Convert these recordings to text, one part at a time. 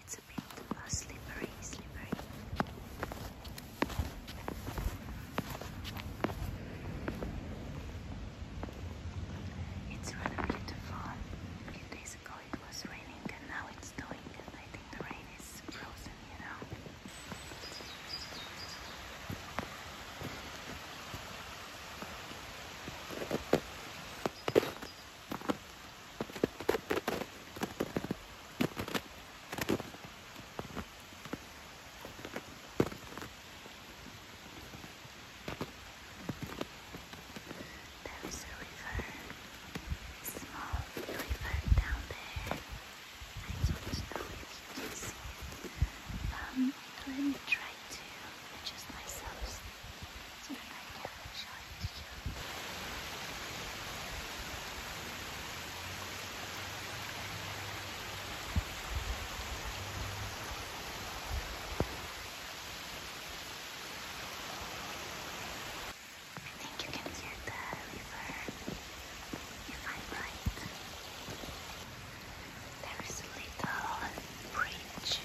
it's a bit uh, slippery, slippery. It's rather beautiful. A few days ago it was raining and now it's snowing and I think the rain is frozen, you know. There's a river, a small river down there. I don't know if you Um, let me try to adjust myself it's been right I'll show it to you. think you can hear the river if i right. There is a little bridge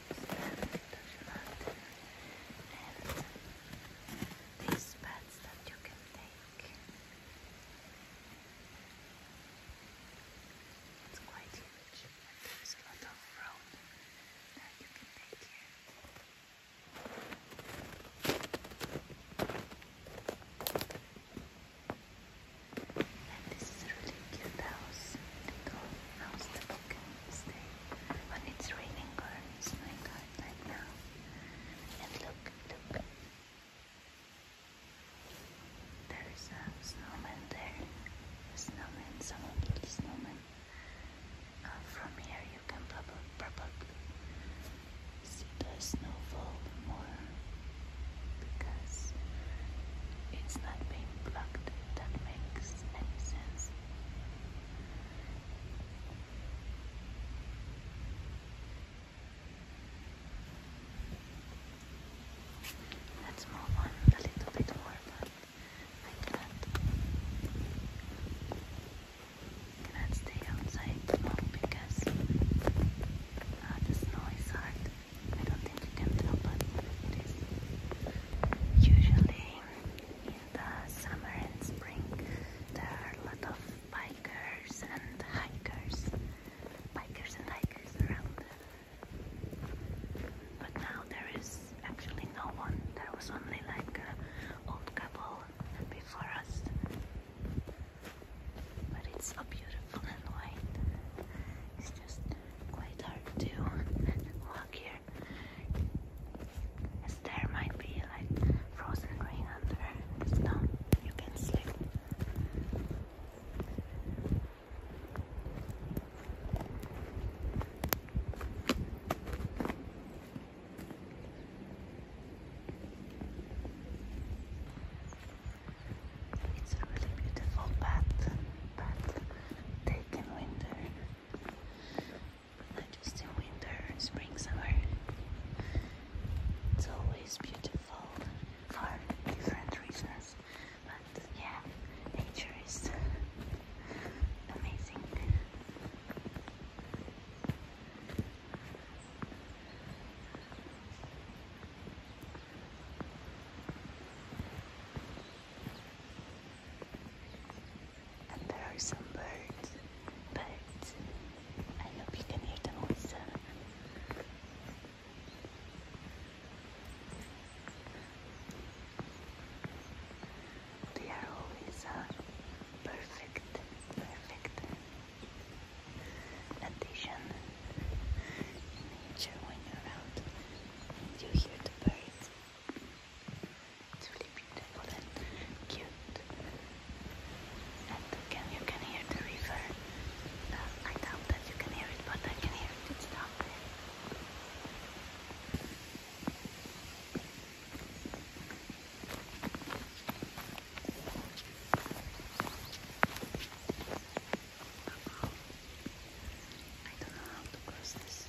and these pads that you can take. It's quite huge and there is a lot of road that you can take here. And this really cute house, little house that when it's raining or snowing hard now. And look, look. There's a snowman there. A snowman, someone little snowman. Uh, from here you can probably, probably see the snowfall more because it's not being blocked. That makes sense. Let's move on a little bit more, but I cannot, cannot stay outside long because uh, the snow is hard. I don't think you can tell, but it is. Usually in the summer and spring there are a lot of bikers and hikers, bikers and hikers around. But now there is actually no one. There was only like an old couple before us. But it's so beautiful and white. It's just quite hard to there might be like frozen rain under the snow. You can sleep. It's a really beautiful bath, bath taken winter not just in winter, spring, summer. It's always beautiful for different reasons. But yeah, nature is amazing. And there are some birds. Birds. I hope you can hear them also. They are always uh, perfect, perfect addition in nature when you're out you hear the birds. It's really beautiful and cute. And can you can hear the river? Uh, I doubt that you can hear it, but I can hear it. It's down there. I don't know how to cross this.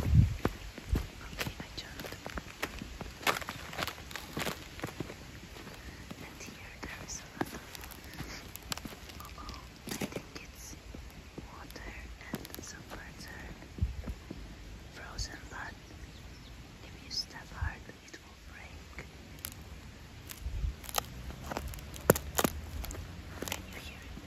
Okay, I jumped. And here there is a oh, I think it's water and some birds frozen, if you step hard, it will break. You hear it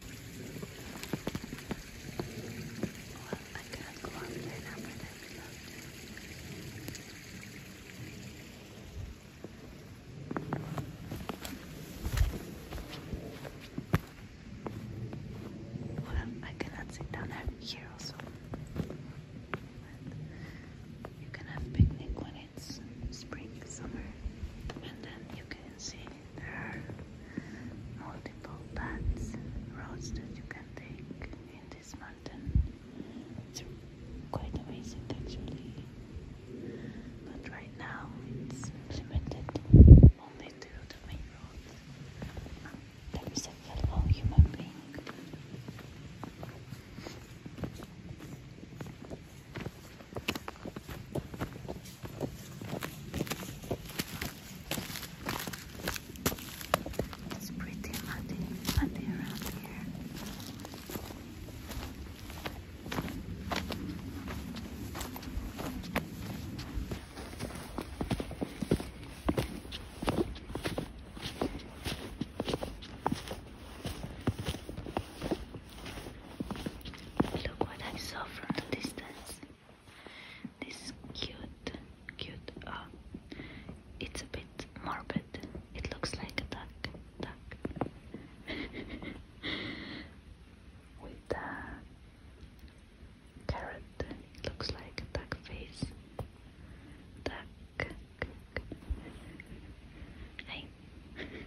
Well, I can go up there now, but Well, I cannot sit down here also. you can have picnic when it's spring, summer, and then you can can see there are multiple paths, roads that you can take in this mountain. It's quite amazing actually. But right now it's limited only to the main road. There is a fellow human being. It's pretty muddy, muddy around here. Look what I saw from a distance. This cute, cute. Oh, it's a bit morbid. It looks like a duck, duck. With the carrot, it looks like a duck face. Duck. Hey.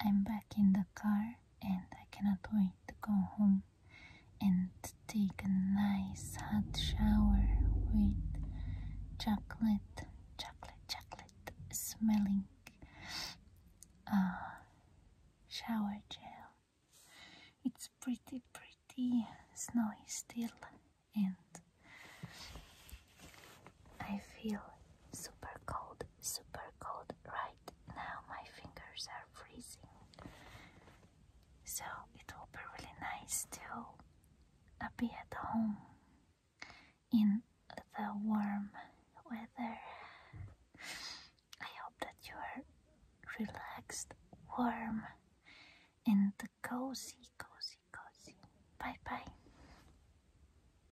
I'm back in the car and I cannot wait to go home and take a nice hot shower with chocolate, chocolate, chocolate smelling uh, shower gel. It's pretty, pretty snowy still and I feel super cold super cold right now. My fingers are freezing. So it will be really nice to be at home in the warm weather. I hope that you are relaxed, warm, and cozy, cozy, cozy. Bye bye.